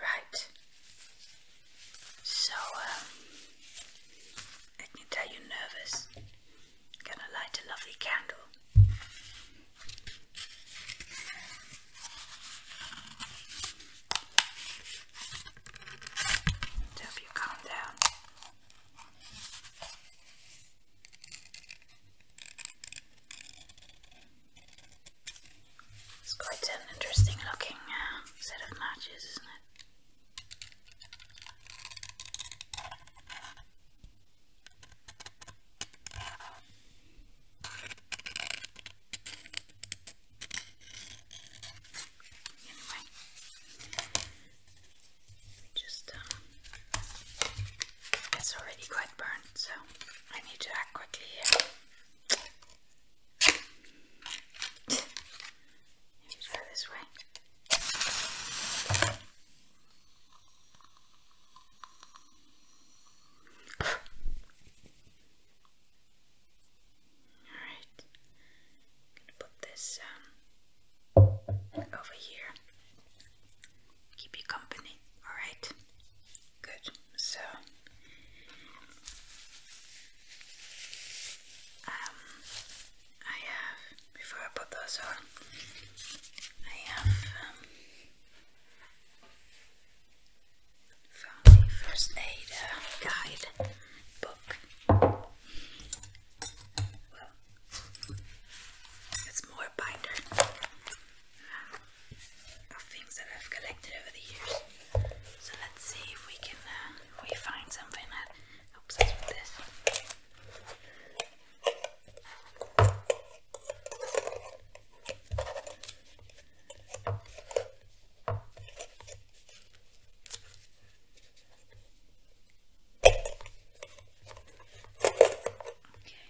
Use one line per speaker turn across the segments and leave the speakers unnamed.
Right. So, um, I tell you nervous. gonna light a lovely candle. To help you calm down. It's quite an interesting looking uh, set of matches, isn't it? Anyway, just um, it's already quite burnt, so I need to act quickly here. Just go this way. Alright. gonna put this um over here. Keep you company, alright? Good. So, um, I have, before I put those on, I have um, first aid uh, guide book. Well, it's more binder of things that I've collected over the years. So let's see if we can uh, we find something that helps us with this. Okay.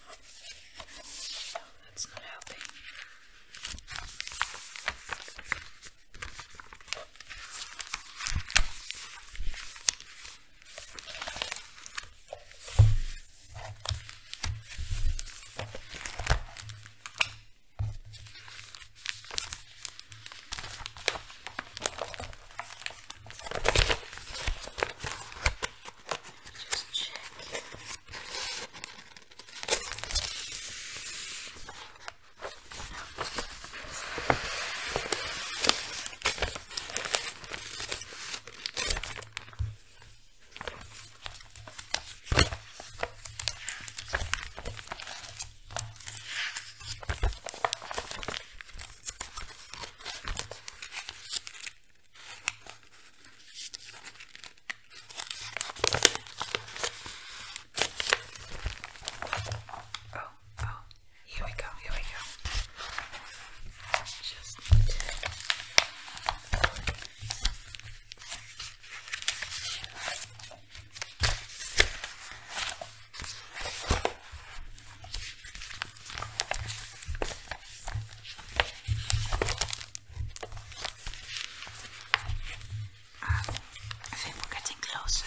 No, that's not helping just check. Oh, oh, here we go, here we go. Just need to um, I think we're getting closer.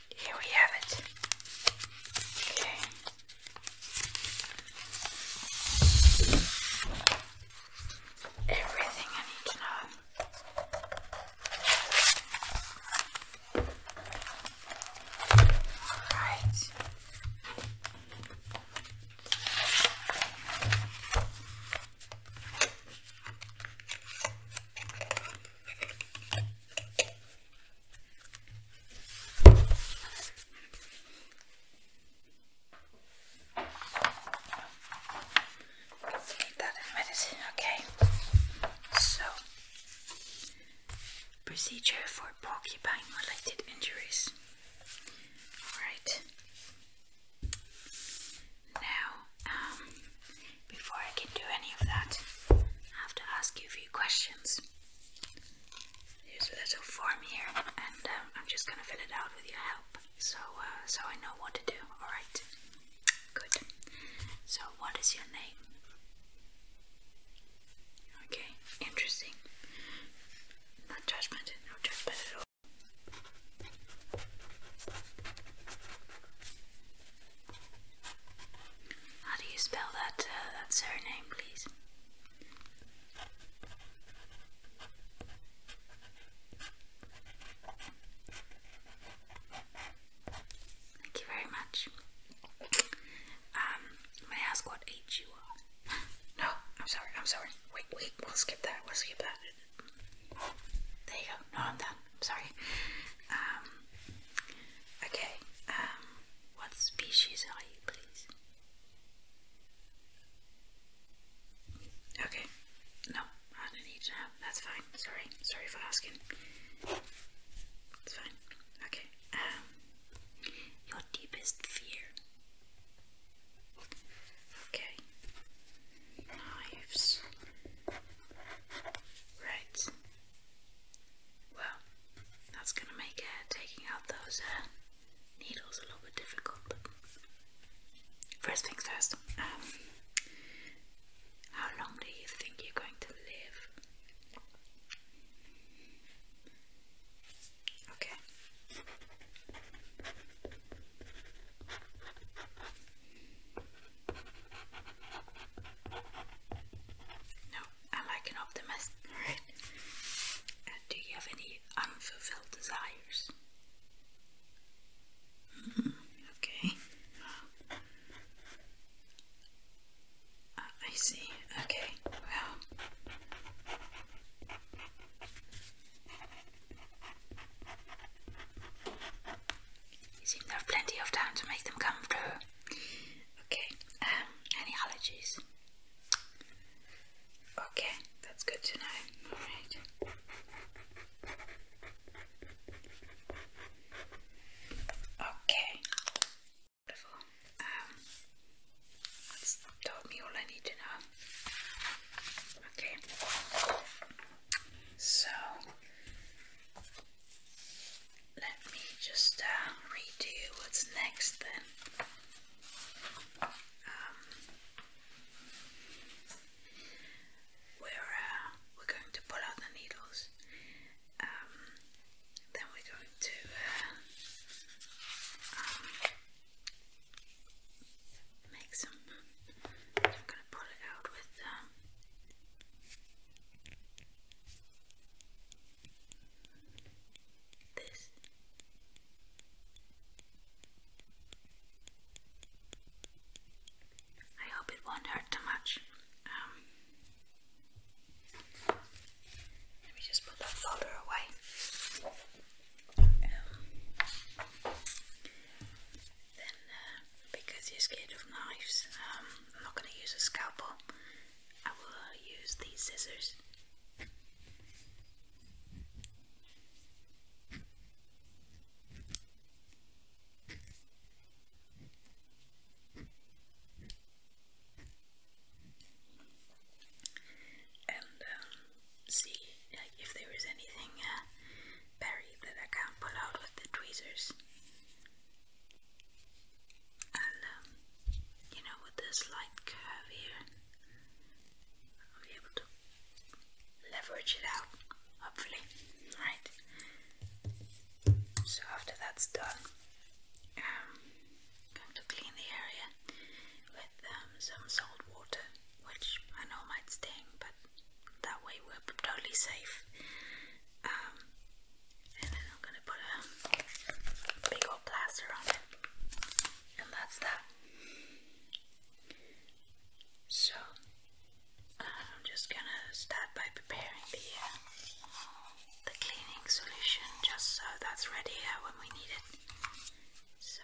Here we have it. Okay. Everything I need to know. Alright that in Okay. So, procedure for porcupine related injuries. Alright. Now, um, before I can do any of that, I have to ask you a few questions. There's a little form here, and um, I'm just gonna fill it out with your help, so uh, so I know what to do. All right, good. So, what is your name? Okay, interesting. Not judgment, no judgment at all. How do you spell that, uh, that surname, please? Thank you very much. Um, may I ask what age you are? no, I'm sorry, I'm sorry. Wait, wait, we'll skip that, we'll skip that. There you go. No, I'm done. I'm sorry. Um, Okay, um, what species are you, please? Okay, no, I don't need to know. That's fine. Sorry, sorry for asking. It's fine. Okay, um, your deepest fear. Okay, knives. Right. Well, that's going to make uh, taking out those uh, needles a little bit difficult. But First things first, um, how long do you think you're going to live? Okay. No, I like an optimist. Alright. do you have any unfulfilled desires? Hmm, okay. Ah, I see. Okay. Well. You seem to have plenty of time to make them come through. Okay, um, any allergies? Okay, that's good to know. Alright. Okay. Wonderful. Um, told me all I need to know. Okay. So let me just uh, what's next then. Um, we're uh, we're going to pull out the needles. Um, then we're going to uh, um, make some I'm going to pull it out with um, this. I hope it won't hurt too much. Um, let me just put that folder away. Um, then uh, because you're scared of knives, um, I'm not going to use a scalpel. I will use these scissors. And um, see if there is anything uh, berry that I can't pull out with the tweezers. And, um, you know, with this light here, I'll be able to leverage it out, hopefully. Right. So after that's done, I'm um, going to clean the area with um, some salt water, which I know might sting, but that way we're totally safe. Um, and then I'm gonna put a big old plaster on it, and that's that. So I'm just gonna start by preparing the uh, the cleaning solution, just so that's ready uh, when we need it. So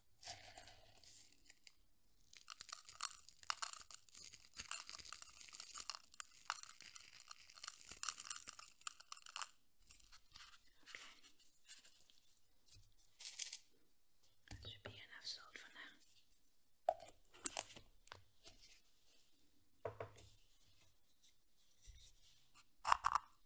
That should be enough salt for now. Okay.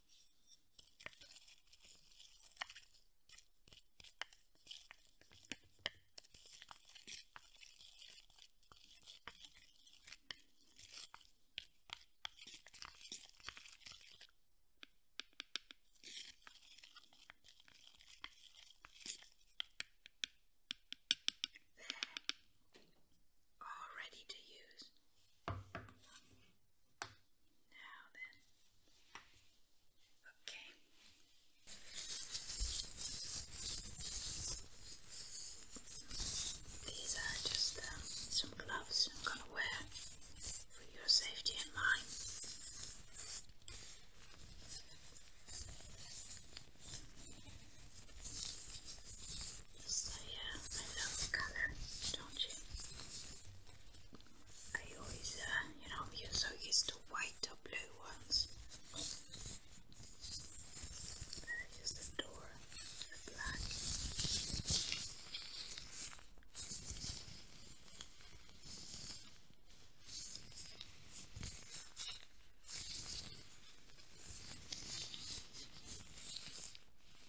They're all ready to use. Now then. Okay. These are just uh, some gloves I'm going to wear for your safety and mine. Yes, I, I love the don't you? I always, uh, you know, you're so used to white or blue ones. I just adore the black.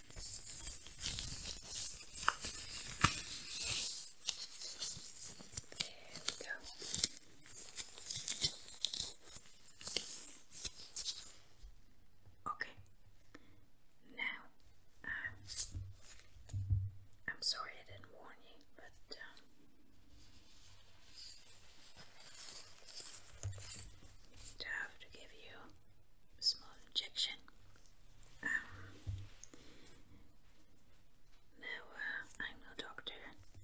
we Okay. Now, uh, I'm sorry I didn't warn you, but uh, I have to give you small injection. Um, no, uh, I'm no doctor.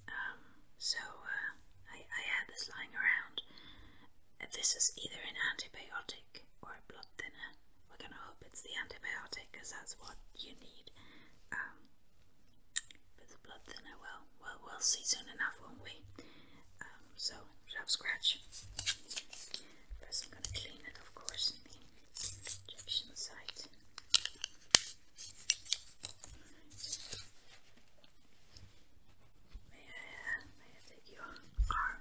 Um, so uh, I, I this lying around. This is either an antibiotic or a blood thinner. We're gonna hope it's the antibiotic because that's what you need. but um, the blood thinner will well, well, we'll see soon enough, won't we? Um, so, sharp scratch. First, I'm gonna clean it, of course, injection site. May I, may I take your arm?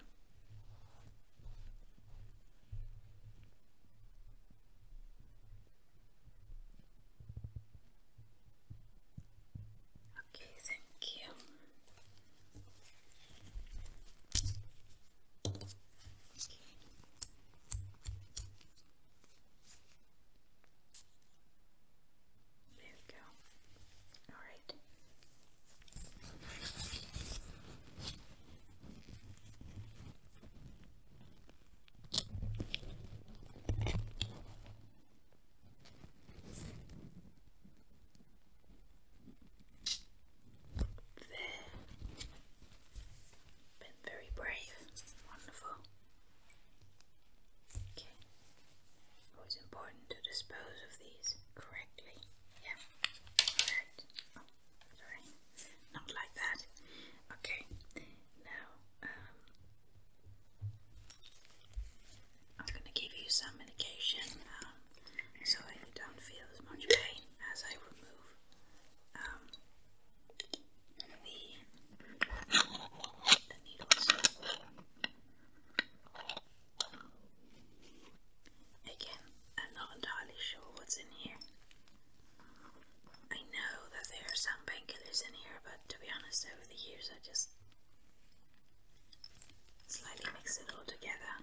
Okay, thank you. There we go. All right. There. Been very brave. Wonderful. Okay. Always important to dispose of these correctly. Yeah. Alright. Oh, Not like that. Okay. Now, um, I'm going to give you some medication um, so that you don't feel as much pain as I remove um, the needles. Again, I'm not entirely sure what's in here. I know that there are some painkillers in here, but to be honest, over the years I just Slightly mix it all together.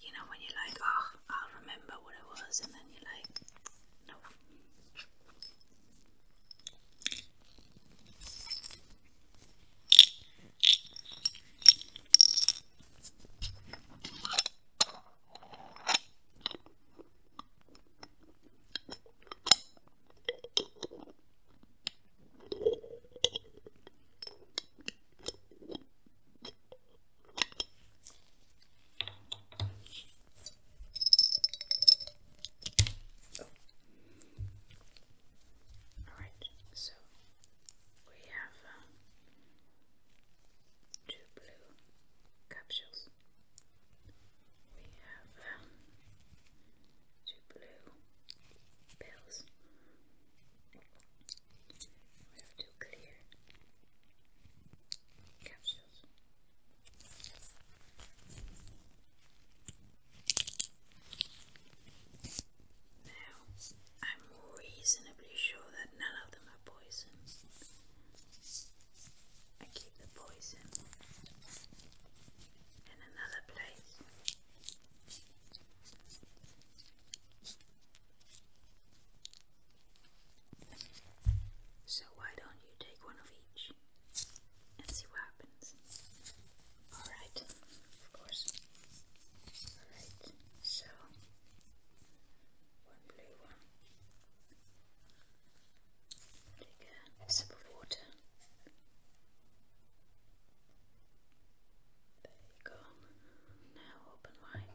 You know, when you're like, oh, I'll remember what it was, and then you're like, no. Oh. All right, so we have um, two blue capsules. We have um, two blue pills. We have two clear capsules. Now, I'm reasonably sure that none of them are poison. I keep the poison so, why don't you take one of each and see what happens? Alright, of course. Alright, so one blue one. Take water. There you go. Now open wide.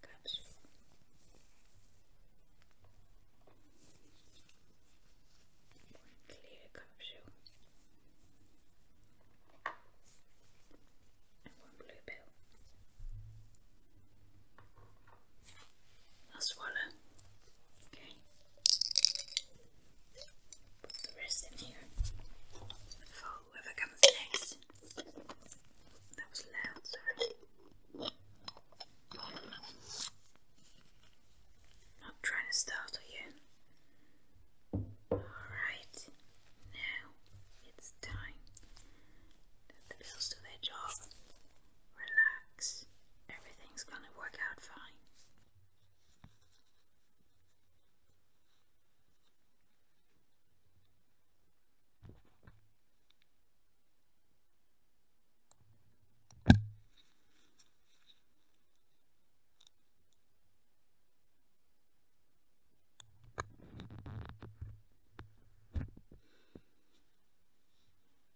Cups. One clear capsule. And one blue pill. I'll swallow. Okay. Put the rest in here whoever comes next. That was loud, Not trying to start again. Alright, now it's time that the bills do their job. Relax. Everything's gonna work out fine.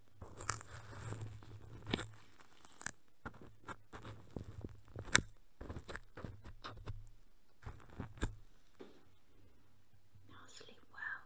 Now sleep well.